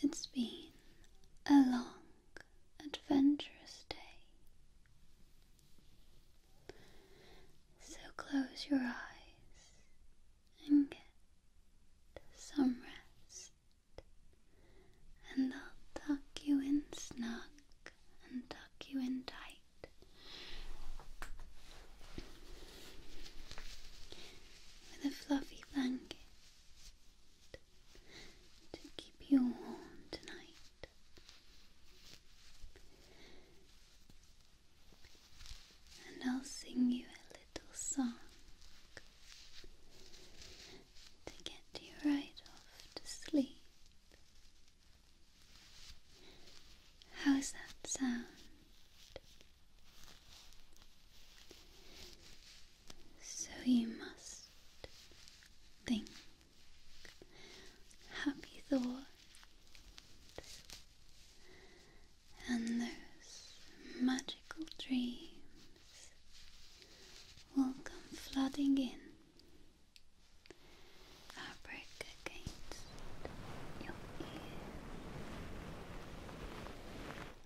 It's been a long, adventurous day. So close your eyes and get some rest, and I'll tuck you in snug and tuck you in tight. With a fluffy blanket to keep you warm tonight. And I'll sing you a little song to get you right off to sleep. How's that sound? So you must think happy thoughts and those magical dreams will come flooding in. Fabric against your ear.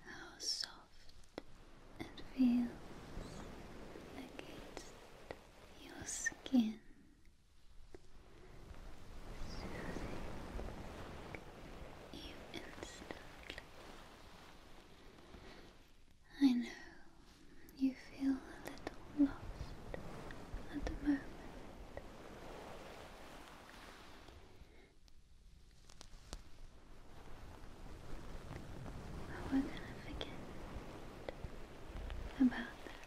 How soft soft and feels against your skin. Soothing you instantly. I know you feel a little lost at the moment. But we're gonna forget about that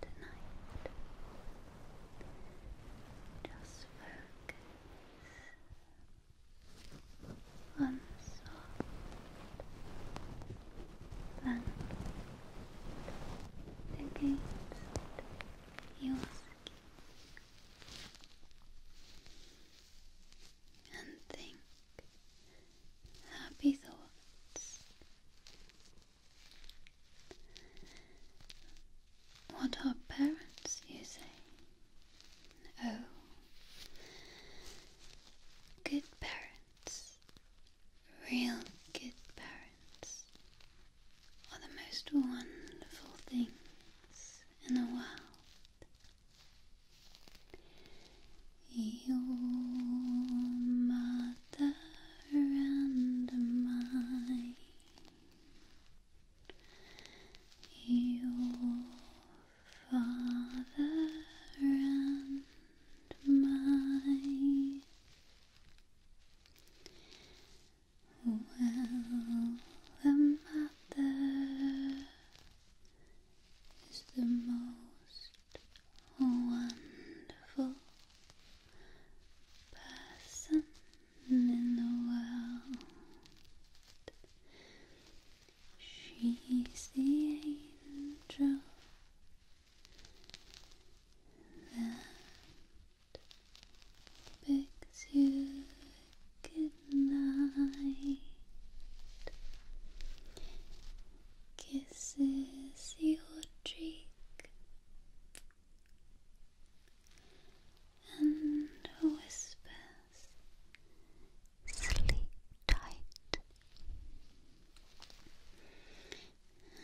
tonight. Just focus on soft blanket against you was a king. And think happy thoughts. What are parents, you say? Oh, good parents, real good parents, are the most wonderful things in the world. Your mother and mine, your father and mine. Well, a mother is the most wonderful person in the world. She's the angel that bigs you good kisses your cheek, and whispers, sleep tight.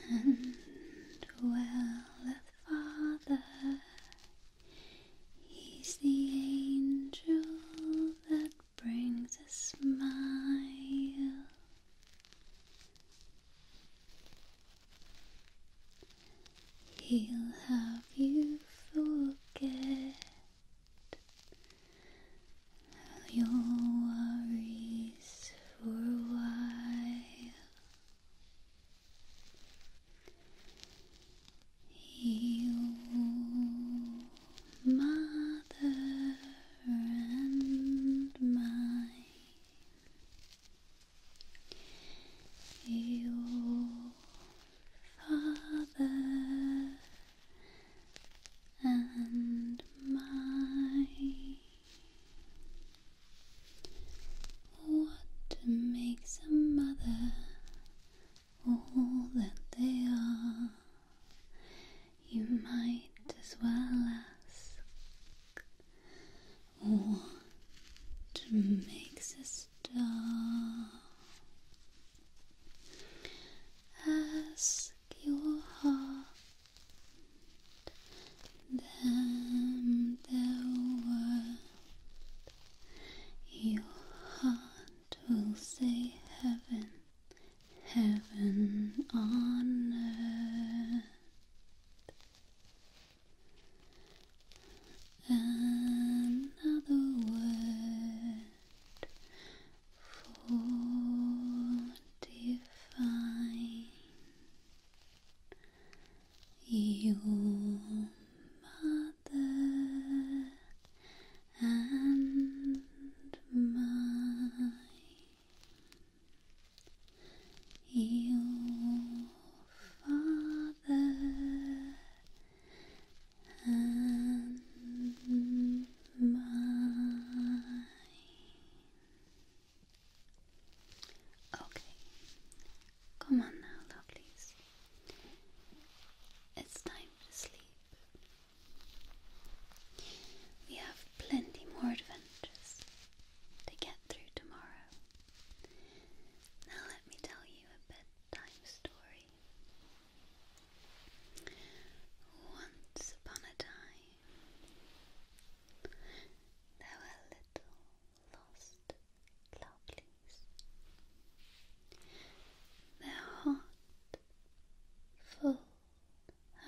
And well, the Father, He's the angel that brings a smile. He'll have you forget your worries for a while. You, mother and mine, you, father and mine. What makes a mother all that they are? You might as well ask. What makes a star? Ask your heart then the world your heart will say heaven, heaven on earth. Another word for divine your mother and mine. Your father and mine. Okay, come on now, lovelies. It's time to sleep. We have plenty more adventures to get through tomorrow. Now, let me tell you a bedtime story. Once upon a time, there were little lost lovelies. Their heart full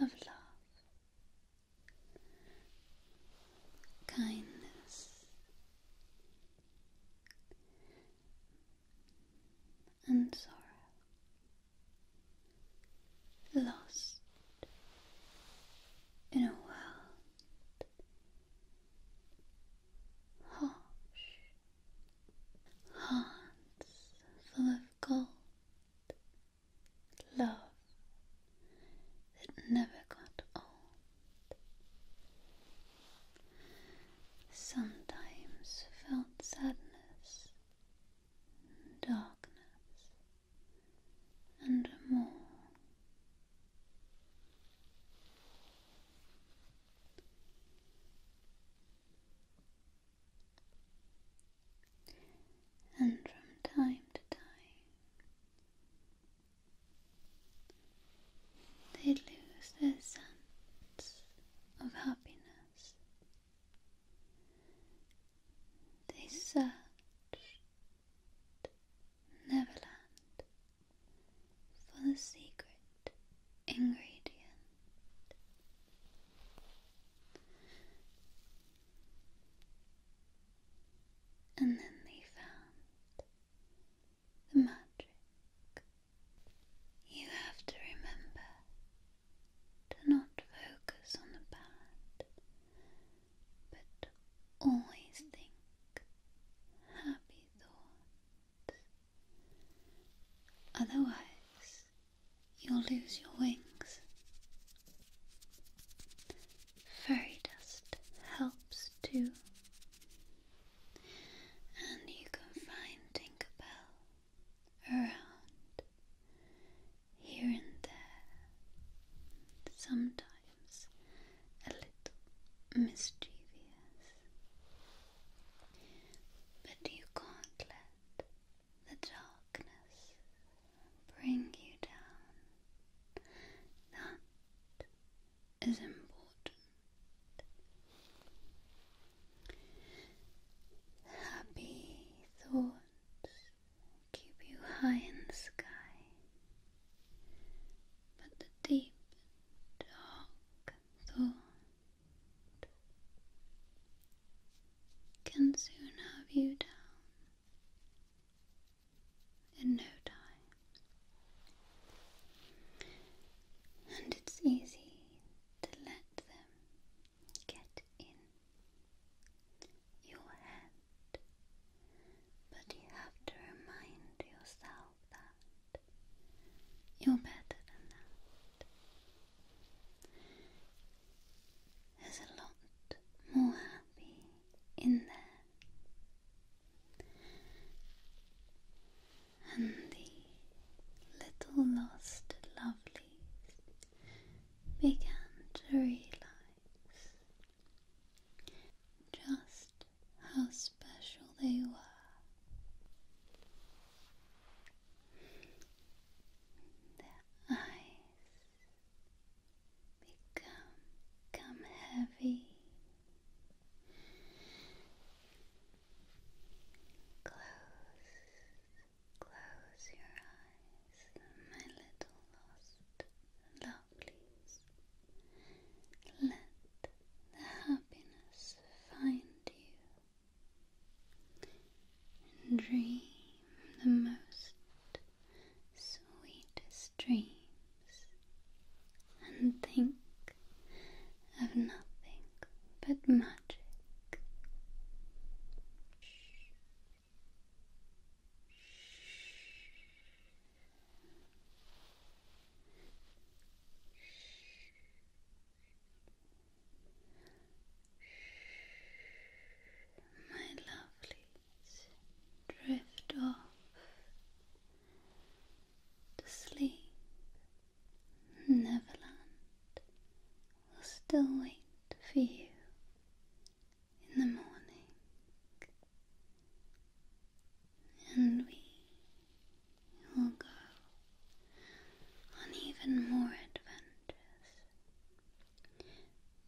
of love, kindness, and sorrow. Lost in a world Harsh hearts full of gold, love that never got old. Sometimes felt sadness, darkness, and more. And from time to time, they lose their sense of happiness. They search Neverland for the secret ingredient. And then they found the magic. You have to remember to not focus on the bad but always think happy thoughts. Otherwise, you'll lose your wings. Fairy dust helps too. And you can find Tinkerbell around here and there, sometimes a little mischievous. But you can't let the darkness bring you down. That is important. Happy thoughts keep you high in the sky, but the deep, dark thought can soon have you down in no time, and it's easy to let them get in your head, but you have to remind yourself that you're better than that. There's a lot more happy in there. And the little lost lovelies began to realize just how special they were. Their eyes become come heavy. Close, close your eyes, my little lost love please. Let the happiness find you. And dream the most sweetest dreams. And think of nothing but magic. My lovelies drift off to sleep. Neverland will still wait for you in the morning, and we will go on even more adventures.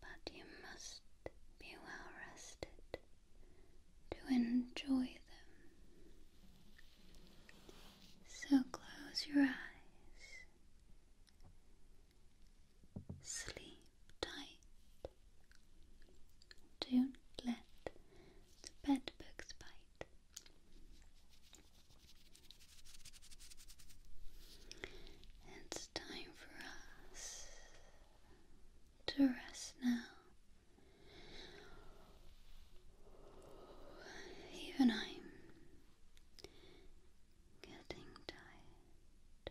But you must be well rested to enjoy them. So close your eyes Sleep tight. Don't let the bedbugs bite. It's time for us to rest now. Even I'm getting tired.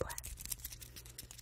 Black, black,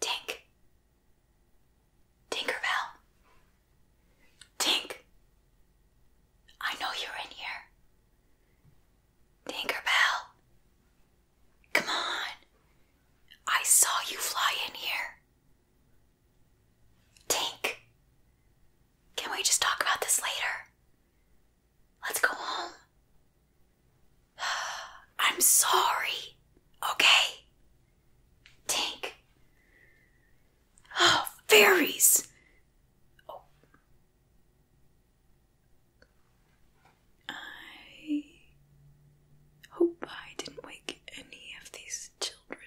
Tink. Tinkerbell. Tink. I know you're in here. Tinkerbell. Come on. I saw you fly in here. Tink. Can we just talk about this later? Let's go home. I'm sorry. Okay? Tink. Oh, fairies. Oh. I hope I didn't wake any of these children.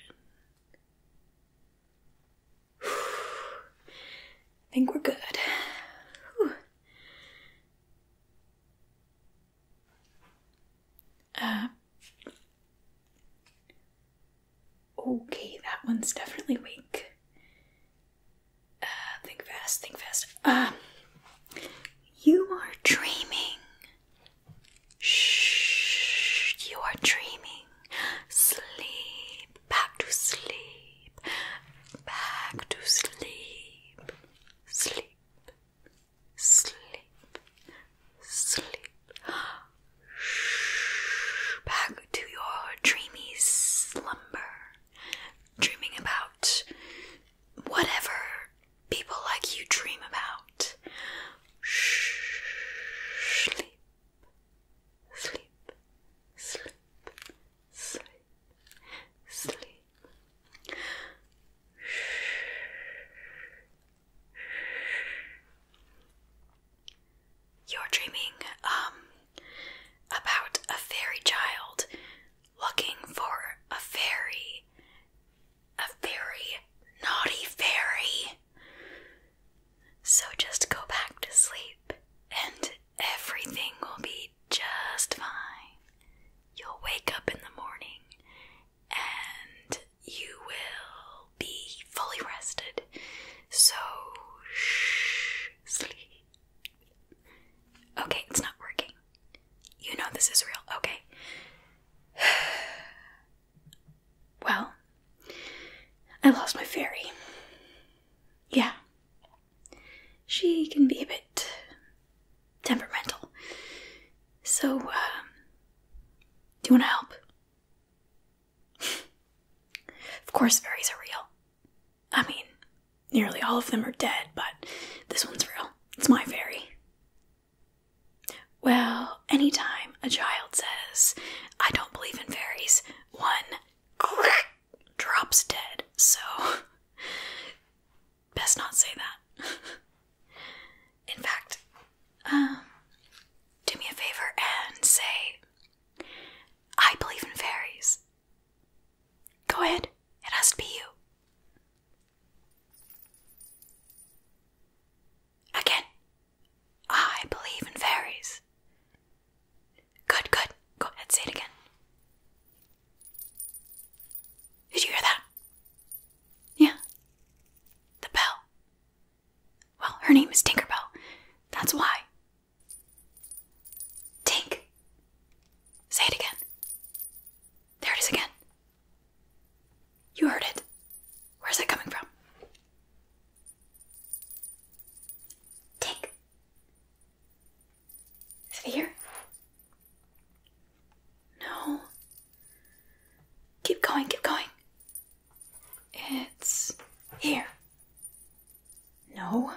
I think we're good. Uh, okay, that one's definitely weak. Uh, think fast, think fast. Um, uh, you are dreaming. Shh, you are dreaming sleep, back to sleep, back to sleep, sleep, sleep, sleep, Shh, back to your dreamy slumber, dreaming about whatever people like you dream about. Shh, sleep sleep, sleep, sleep, sleep. You're dreaming um about a fairy child looking for a fairy, a fairy, naughty fairy so just go back to sleep and everything will be just fine. You'll wake up in the morning and you will be fully rested. So, shh, sleep. Okay, it's not working. You know this is real. Okay. Well, I lost my fairy. Yeah. She can be a bit temperamental. So, um, do you want to help? of course, fairies are real. I mean, nearly all of them are dead, but this one's real. It's my fairy. Well, anytime a child says, I don't believe in fairies, one drops dead, so best not say that. In fact, um, do me a favor and say, I believe in fairies. Go ahead, it has to be you. Again, I believe in fairies. Good, good. Go ahead, say it again. Did you hear that? Yeah. The bell. Well, her name is Tinkerbell. That's why. Tink. Say it again. There it is again. You heard it. Where's that coming from? Tick. Is it here? No. Keep going, keep going. It's here. No.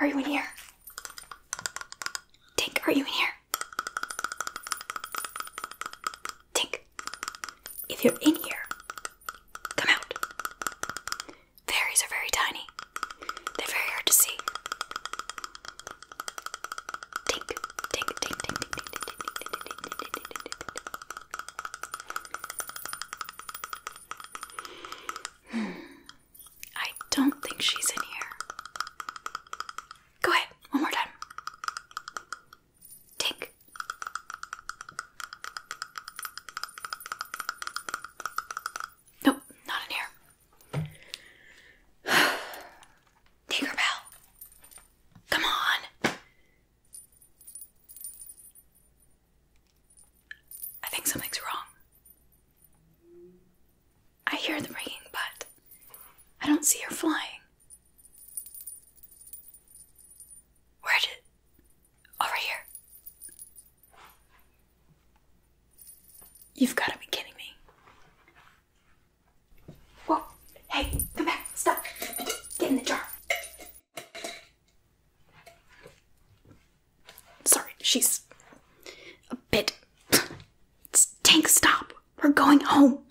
Are you in here? Tink, are you in here? Tink, if you're in here, come out. Fairies are very tiny, they're very hard to see. Tink, tink, tink, tink, tink, tink, tink, tink, tink, tink, tink, Hmm. I don't think she's in here. Go ahead, one more time. Tick. Nope, not in here. Tinkerbell. Come on. I think something's wrong. I hear the ringing, but I don't see her flying. Where did. Over here. You've got to be kidding me. Whoa. Hey, come back. Stop. Get in the jar. Sorry, she's a bit. Tank, stop. We're going home.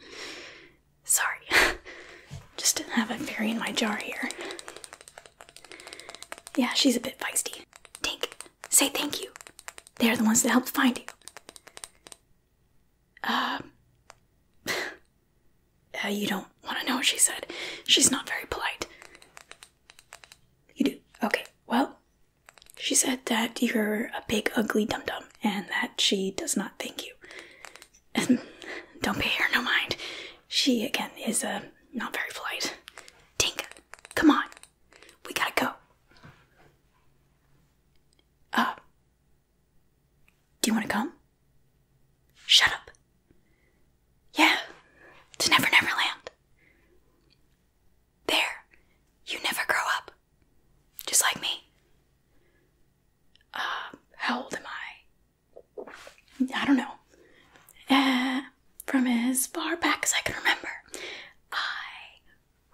Sorry, just didn't have a fairy in my jar here. Yeah, she's a bit feisty. Tink, say thank you. They are the ones that helped find you. Uh, uh, you don't want to know what she said. She's not very polite. You do? Okay, well, she said that you're a big, ugly dum dum and that she does not thank you. Don't be here. no mind. She, again, is uh, not very polite. Tinka, come on. We gotta go. Uh, do you want to come? Shut up. Yeah, to Never Never Land. There, you never grow up. Just like me. Uh, how old am I? I don't know. Uh, from as far back as I can remember, I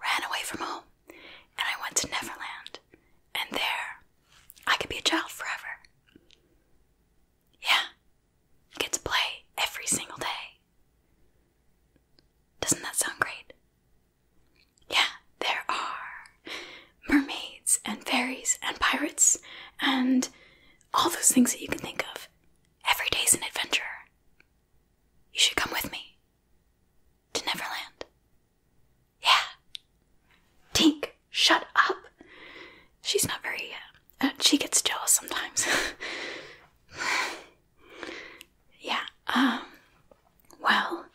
ran away from home and I went to Neverland, and there I could be a child forever. Yeah, get to play every single day. Doesn't that sound great? Yeah, there are mermaids and fairies and pirates and all those things that you can think of. Every day's an adventure. You should come with me to Neverland. Yeah. Tink, shut up. She's not very. Uh, uh, she gets jealous sometimes. yeah. Um. Well,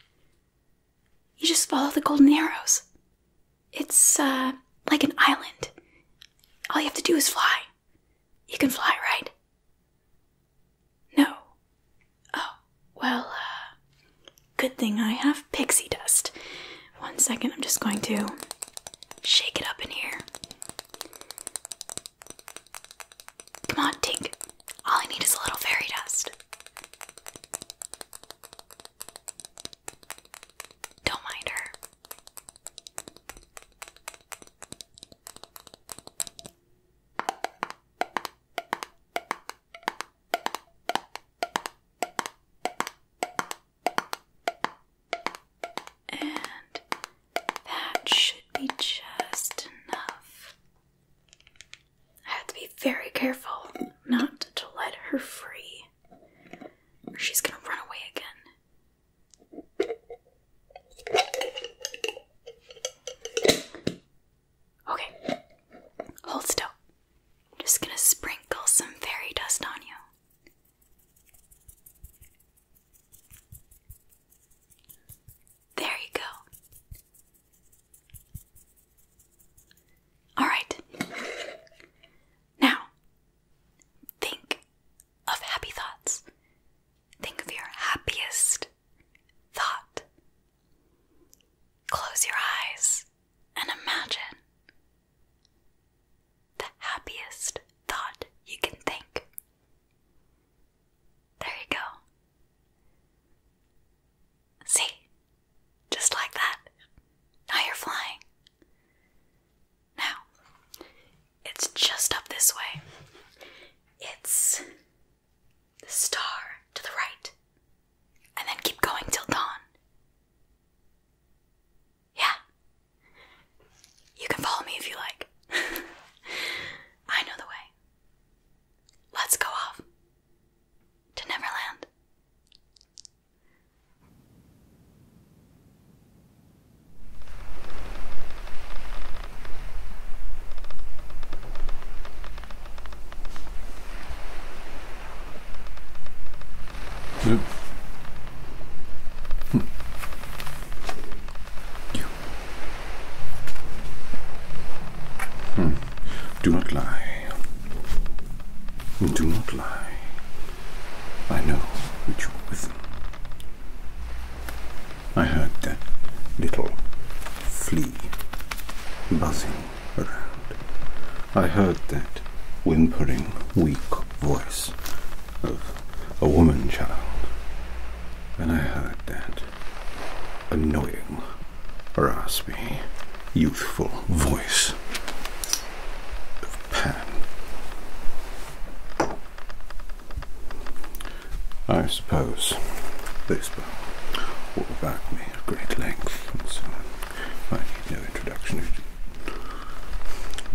you just follow the golden arrows. It's uh, like an island. All you have to do is fly. You can fly, right? No. Oh, well, uh, good thing I have pixie dust. One second, I'm just going to shake it up in here. Come on, Tink. All I need is a little fairy dust. Don't mind her. And that should be just enough. I have to be very careful not to let her free, she's gonna run away again. Okay, hold still. I'm just gonna sprinkle some fairy dust on you. There you go. All right. Now, think of happy thoughts. Think of your happiest thought. Close your eyes and imagine the happiest thought you can think. There you go. See, just like that. Now you're flying. Now, it's just up this way. It's the star to the right. And then keep going till dawn. Yeah. You can follow me if you like. I know the way. Let's go off to Neverland. Nope. Hm. Hmm. hmm. Do not lie. Do not lie. I know that you are with them. I heard that little flea buzzing around. I heard that whimpering, weak voice of a woman child. And I heard that annoying raspy, youthful voice Pan. I suppose this book will back me at great length and so on. I need no introduction.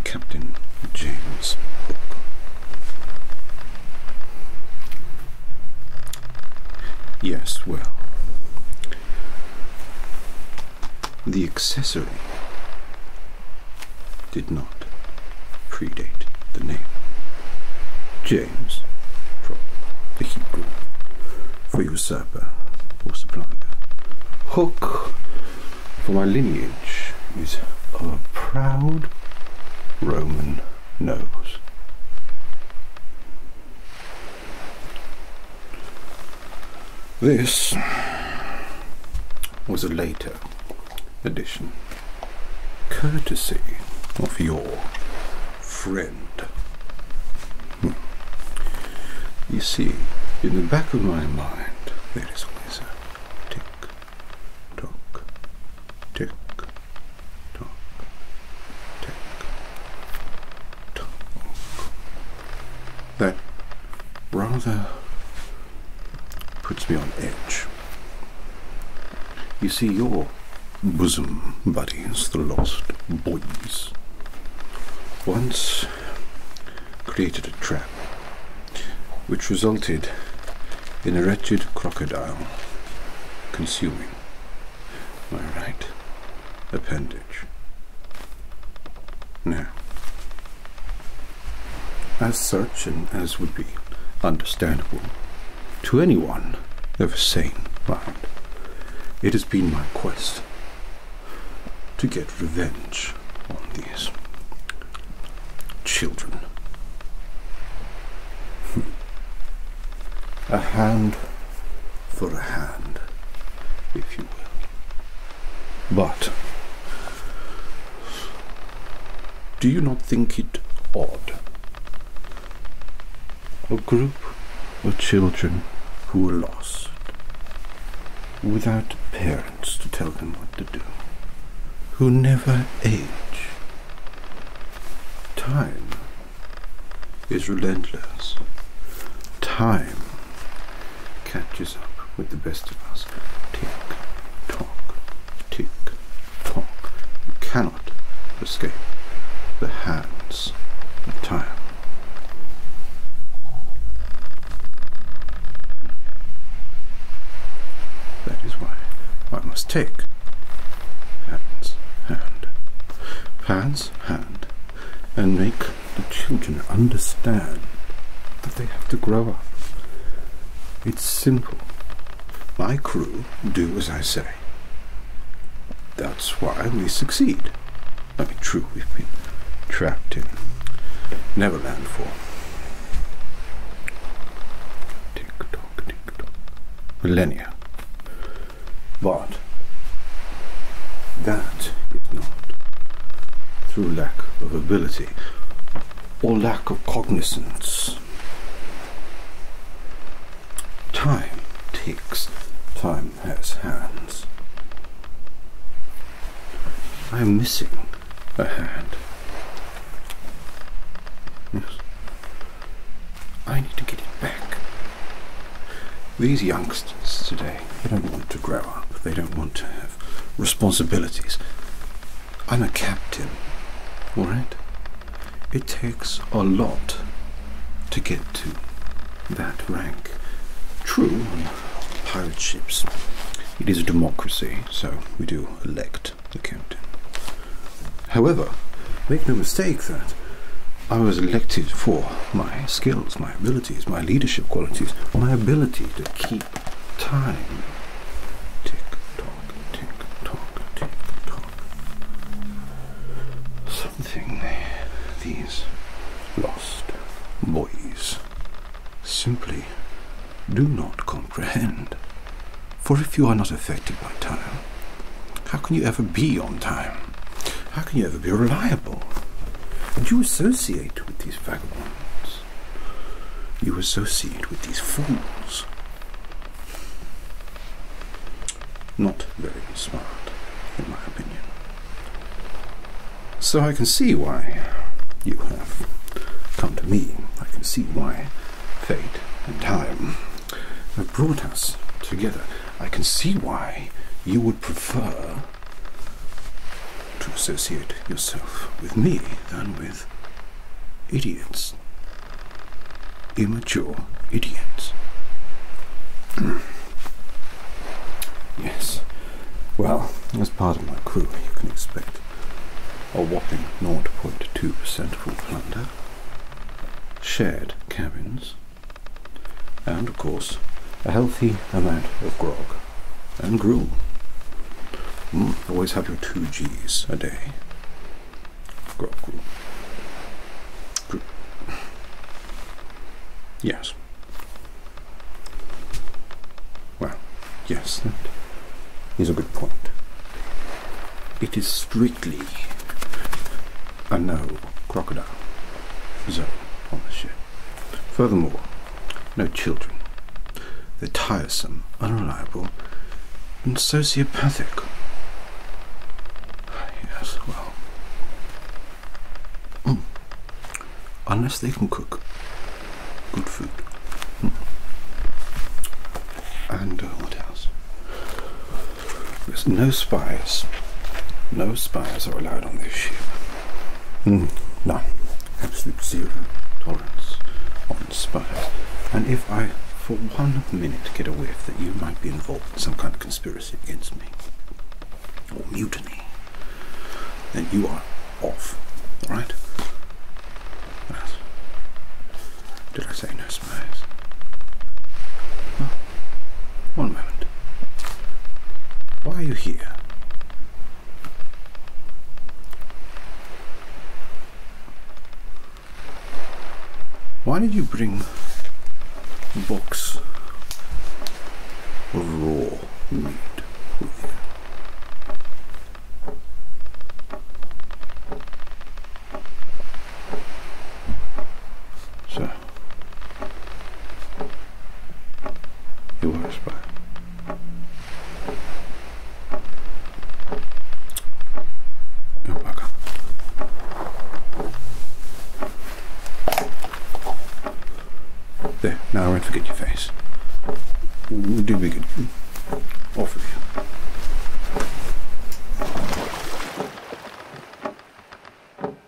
Captain James Book. Yes, well, the accessory did not predate the name. James, from the Hebrew, for usurper or supplier. Hook, for my lineage, is of a proud Roman nose. This was a later addition, courtesy of your friend. Hmm. You see, in the back of my mind, there is always a tick, tock, tick, tock, tick, that rather puts me on edge. You see, your bosom buddies, the Lost Boys, once created a trap which resulted in a wretched crocodile consuming my right appendage. Now, as such, as would be understandable to anyone of a sane mind, it has been my quest to get revenge on these children. Hmm. A hand for a hand, if you will. But do you not think it odd? A group of children who are lost, without parents to tell them what to do, who never age. Time is relentless. Time catches up with the best of us. Tick, tock, tick, tock. You cannot escape the hands of time. That is why I must take hands, hand. hands, hand and make the children understand that they have to grow up. It's simple. My crew do as I say. That's why we succeed. I mean, true, we've been trapped in Neverland for. Tick tock, tick tock. Millennia. But that is not through lack of ability or lack of cognizance. Time ticks, time has hands. I am missing a hand. Yes. I need to get it back. These youngsters today, they don't want to grow up. They don't want to have responsibilities. I'm a captain, alright? It takes a lot to get to that rank. True, on pirate ships, it is a democracy, so we do elect the captain. However, make no mistake that I was elected for my skills, my abilities, my leadership qualities, my ability to keep time. Tick tock, tick tock, tick tock. Something these lost boys simply do not comprehend. For if you are not affected by time, how can you ever be on time? How can you ever be reliable? And you associate with these vagabonds. You associate with these fools. Not very smart, in my opinion. So I can see why you have come to me. I can see why fate and time have brought us together. I can see why you would prefer to associate yourself with me than with idiots. Immature idiots. yes. Well, as part of my crew, you can expect a whopping 0.2% of all plunder, shared cabins, and of course a healthy amount of grog and gruel. Mm, always have your two G's a day. Grog, gruel. gruel. Yes. Well, yes, that is a good point. It is strictly a no crocodile zone on Furthermore, no children. They're tiresome, unreliable, and sociopathic. Yes, well. Hmm. Unless they can cook good food. Hmm. And uh, what else? There's no spies. No spies are allowed on this ship. Mm, no. Absolute zero tolerance on spies. And if I, for one minute, get a whiff that you might be involved in some kind of conspiracy against me, or mutiny, then you are off. Alright? Right. Did I say no spies? One moment. Why are you here? Why did you bring box of raw meat with you? You are a spy. You're welcome. There, now I won't forget your face. We will do be good. Off with you.